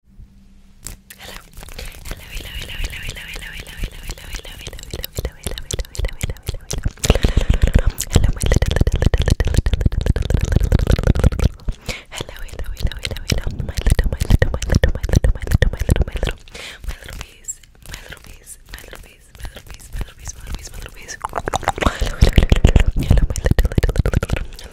Hello, hello, hello, hello, hello, hello, hello, hello, hello, hello, hello, hello, hello, hello, hello, hello, hello, hello, my little, little, little, little, little, hello, hello, hello, hello, hello, my little, my little, my little, my little, my little, my little, my little, my little piece, my little piece, my little piece, my little piece, my little piece, my little piece, my little piece, hello, hello, hello, hello, my little, little, little, little, hello,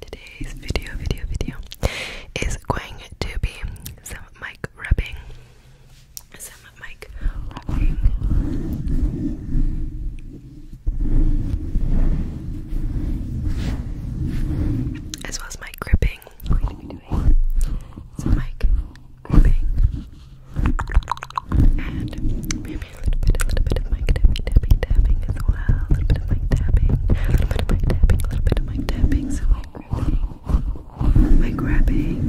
Today's video, video, video is going to be some mic rubbing. Some mic rubbing. As well as mic gripping some mic gripping and maybe a little bit, a little bit of mic tapping, tapping, tapping as well. A little bit of mic tapping, a little bit of mic tapping, a little bit of mic tapping, some mic gripping, mic grabbing.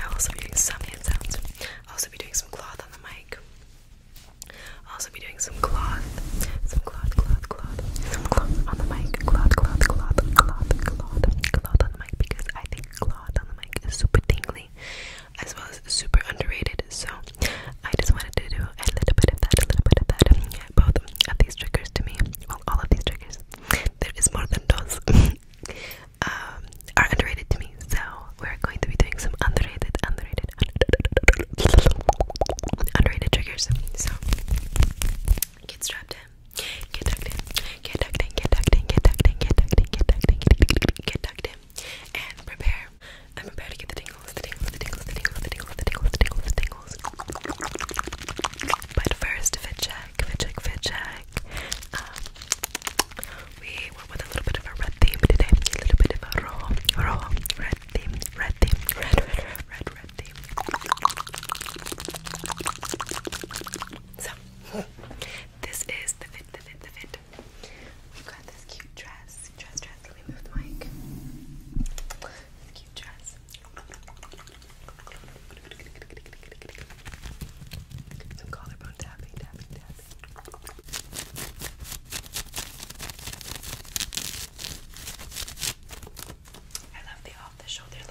I'll also be doing some hand sounds. also be doing some cloth on the mic. also be doing some cloth, some cloth, cloth cloth, cloth, cloth on the mic, cloth, cloth, cloth, cloth, cloth, cloth on the mic because I think cloth on the mic is super tingly as well as super underrated. So I just wanted to do a little bit of that, a little bit of that. Um, yeah, both of these triggers to me, well, all of these triggers, there is more than those, um, are underrated to me. So we're going to be doing some underrated, underrated, underrated, underrated triggers. So get strapped in. Get tucked in. Get tucked in. Get tucked in. Get tucked in. Get tucked in. Get tucked in. Get tucked in. And prepare. I'm prepared to get the tingles. The tingles. The tingles. The tingles. The tingles. The tingles. The tingles. The tingles. But first, fit check. Fit check. Fit check. Um, we went with a little bit of a red theme today. A little bit of a raw, raw red theme. Red theme. Red, red, red, red, red. So, this is the fit, the fit, the fit. we got this cute dress. Dress, dress. Let me move the mic. This cute dress. Some collarbone tapping, tapping, tapping. I love the off the shoulder look.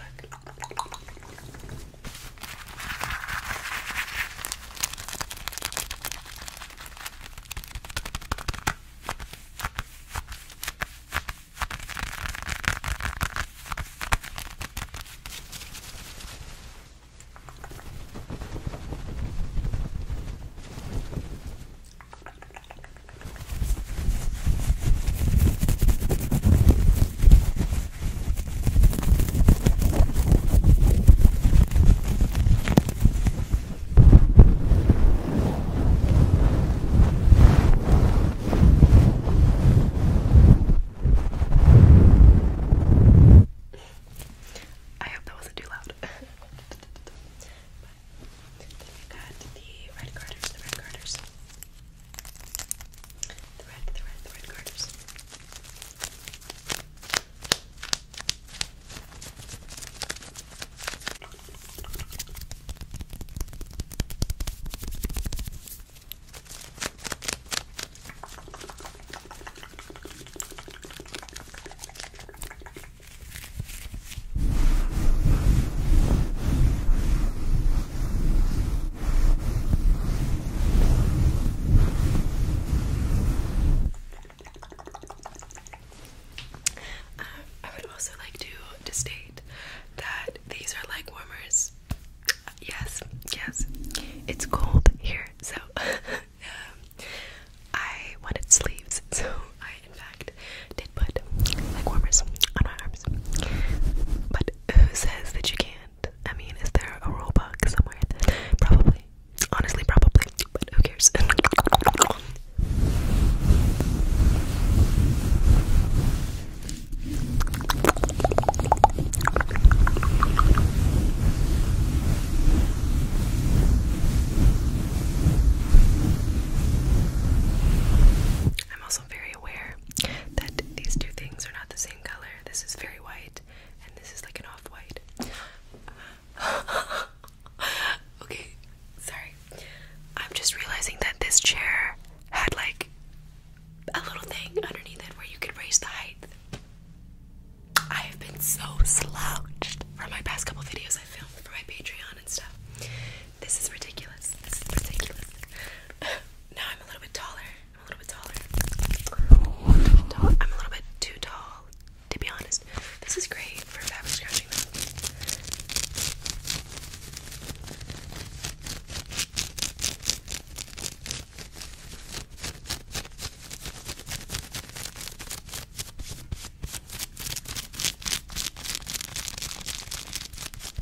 I hope that wasn't too loud. but then we got the red garters, the red garters. The red, the red, the red carders. I would also like to, state that these are leg warmers. Yes, yes, it's cold here, so um, I wanted sleeves, so I in did put leg warmers on my arms. But who says that you can't? I mean, is there a rule book somewhere? Probably. Honestly, probably. But who cares? I'm also very aware that these two things are not the same color. This is very white, and this is like an off white. okay, sorry. I'm just realizing that this chair had like a little thing underneath it where you could raise the height. I have been so slouched from my past couple videos I filmed for my Patreon and stuff. This is ridiculous. This is ridiculous. now I'm a little bit taller. I'm a little bit taller. I'm a little bit, too tall, to be honest. This is great for fabric scratching though.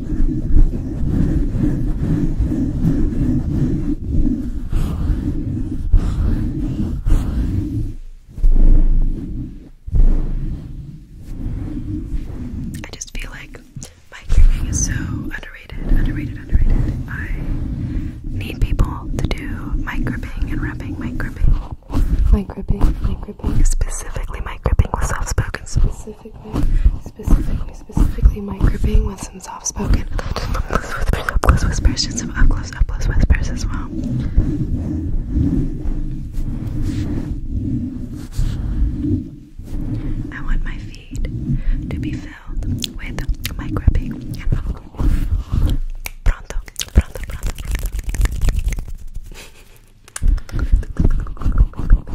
I just feel like microwaving is so underrated, underrated, underrated. I need people to do mic gripping and rapping, mic gripping. Mic gripping, Specifically mic gripping with soft spoken Specifically specifically, specifically micro with some soft-spoken up-close whispers, just some up-close, up-close whispers as well. I want my feed to be filled with micro pronto, pronto, pronto, pronto.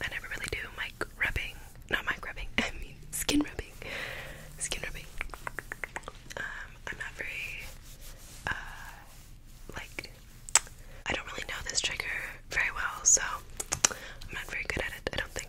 I never really do mic rubbing. Not mic rubbing, I mean skin rubbing. Skin rubbing. Um, I'm not very, uh, like, I don't really know this trigger very well, so I'm not very good at it, I don't think.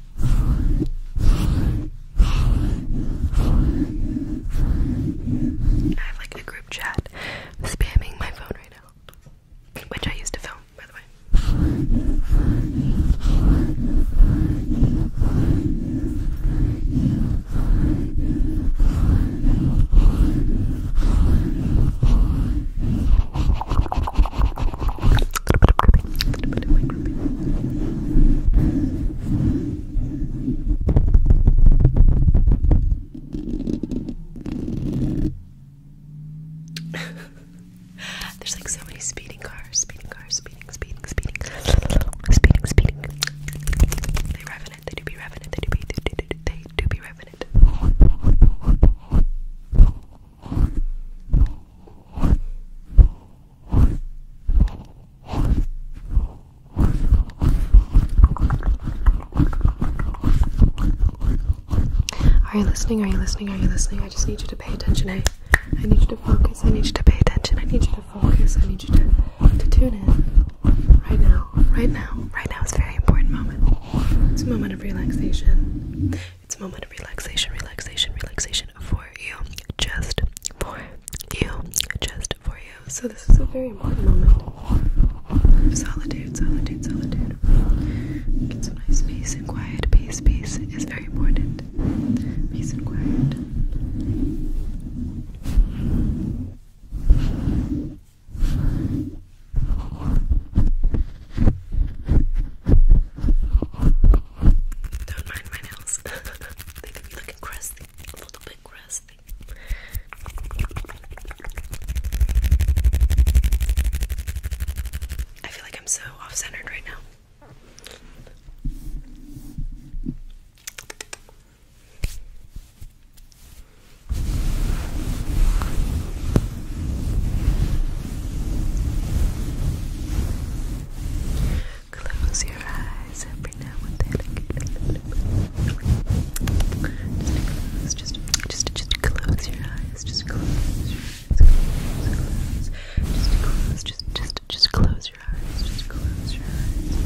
I have like a group chat spamming my phone right now, which I used to film, by the way. There's like so many speeding cars, speeding cars, speeding, speeding, speeding, speeding, speeding. They do be revving They do be. They do, do, they do be revving are you listening? Are you listening? Are you listening? I just need you to pay attention. I, need you to focus. I need you to pay attention. I need you to focus. I need you to, to tune in. Right now. Right now. Right now. It's a very important moment. It's a moment of relaxation. It's a moment of relaxation, relaxation, relaxation for you, just for you, just for you. So this is a very important moment. Solitude, solitude, solitude. Get some nice peace and quiet. Peace, peace is very important. Peace and quiet. Don't mind my nails. they could be looking crusty. A little bit crusty. I feel like I'm so off centered right now. Close your eyes every now and then. Just just, just, just close your eyes. Just close your eyes. Close, close. Just just, just, just close your eyes. Just close your eyes.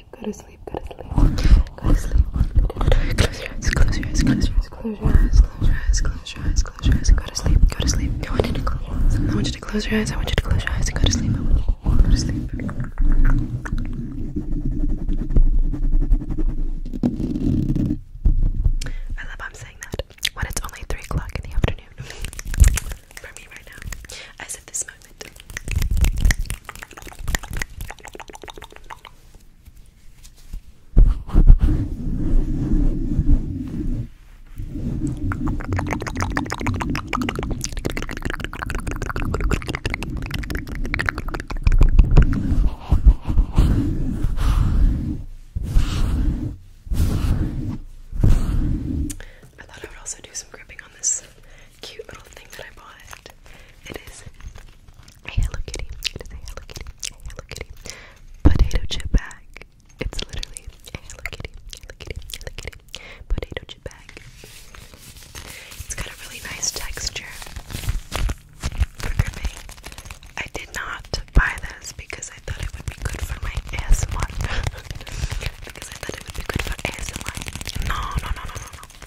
go to sleep, go to sleep, go to sleep. Close your eyes, close your eyes, close your eyes, close your eyes, close your eyes, close your eyes, go to sleep, go to sleep. I want you to close your eyes. I want you to close your eyes. I want you to close your eyes and go to sleep. I want you to go to sleep. I love I'm saying that when it's only three o'clock in the afternoon for me right now, as if this moment. I thought I would also do some gripping on this cute little thing that I bought. It is a Hello Kitty. Hello Kitty. Hello Kitty potato chip bag. It's literally a Hello Kitty. Hello Kitty. Hello Kitty potato chip bag. It's got a really nice texture. For me, I did not buy this because I thought it would be good for my ASMR. because I thought it would be good for ASMR. No, no, no, no, no, no.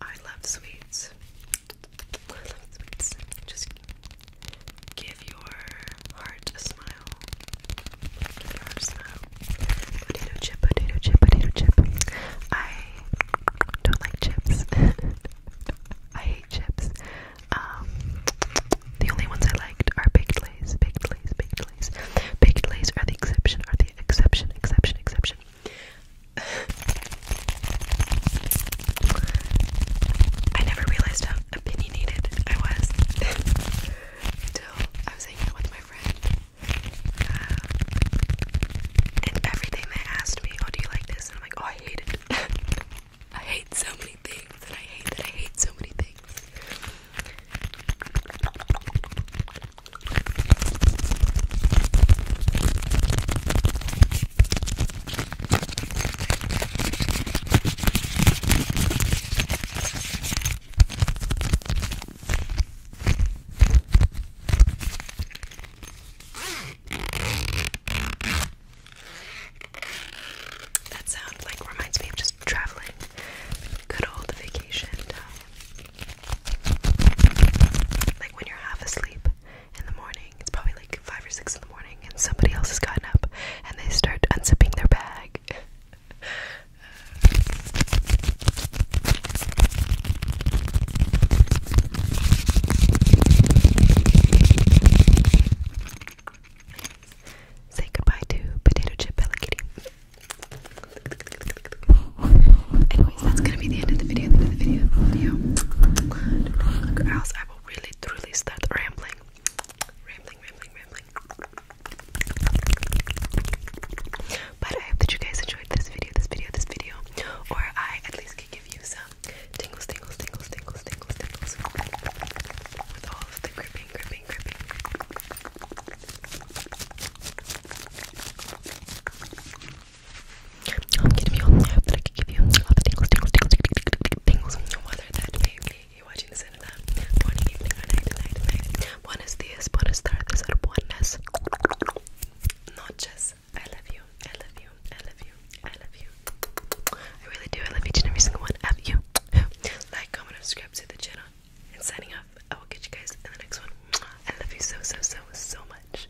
I love sweets. Just give your heart a smile. Give your heart a smile. Potato chip, potato chip, I don't like chips. I hate chips. Um, the only ones I liked are baked lays, baked lays, baked lays. Baked lays are the exception, are the exception, exception, exception. I never realized how opinionated I was until I was hanging out with my friend. Um, and everything they asked me, oh, do you like this? And I'm like, oh, I hate it. I hate so many things, and I hate that I hate so many things. That sound like reminds me of just traveling. Good old vacation Like when you're half asleep in the morning it's probably like five or six in the morning, and somebody else has gotten up and they start unzipping their bag. Say goodbye to potato chip Bella Kitty. Anyways, that's gonna be the end of the video. The end of the video. video. I'll I will really truly start rambling. Rambling, rambling, rambling. But I hope that you guys enjoyed this video, this video, this video. Or I at least can give you some tingles, tingles, tingles, tingles, tingles, tingles. With all the gripping, gripping, gripping. I'm kidding me on. I hope that I can give you all the tingles, tingles, tingles, tingles, tingles. Whether that may be you're watching this in the morning, evening, or night, night, night. Buenos dias, buenas tardes, or buenas noches. I love you. I love you. I love you. I love you. I really do. I love each and every single one of you. Like, comment, and subscribe to the channel. And signing off. I will catch you guys in the next one. I love you so, so, so, so much.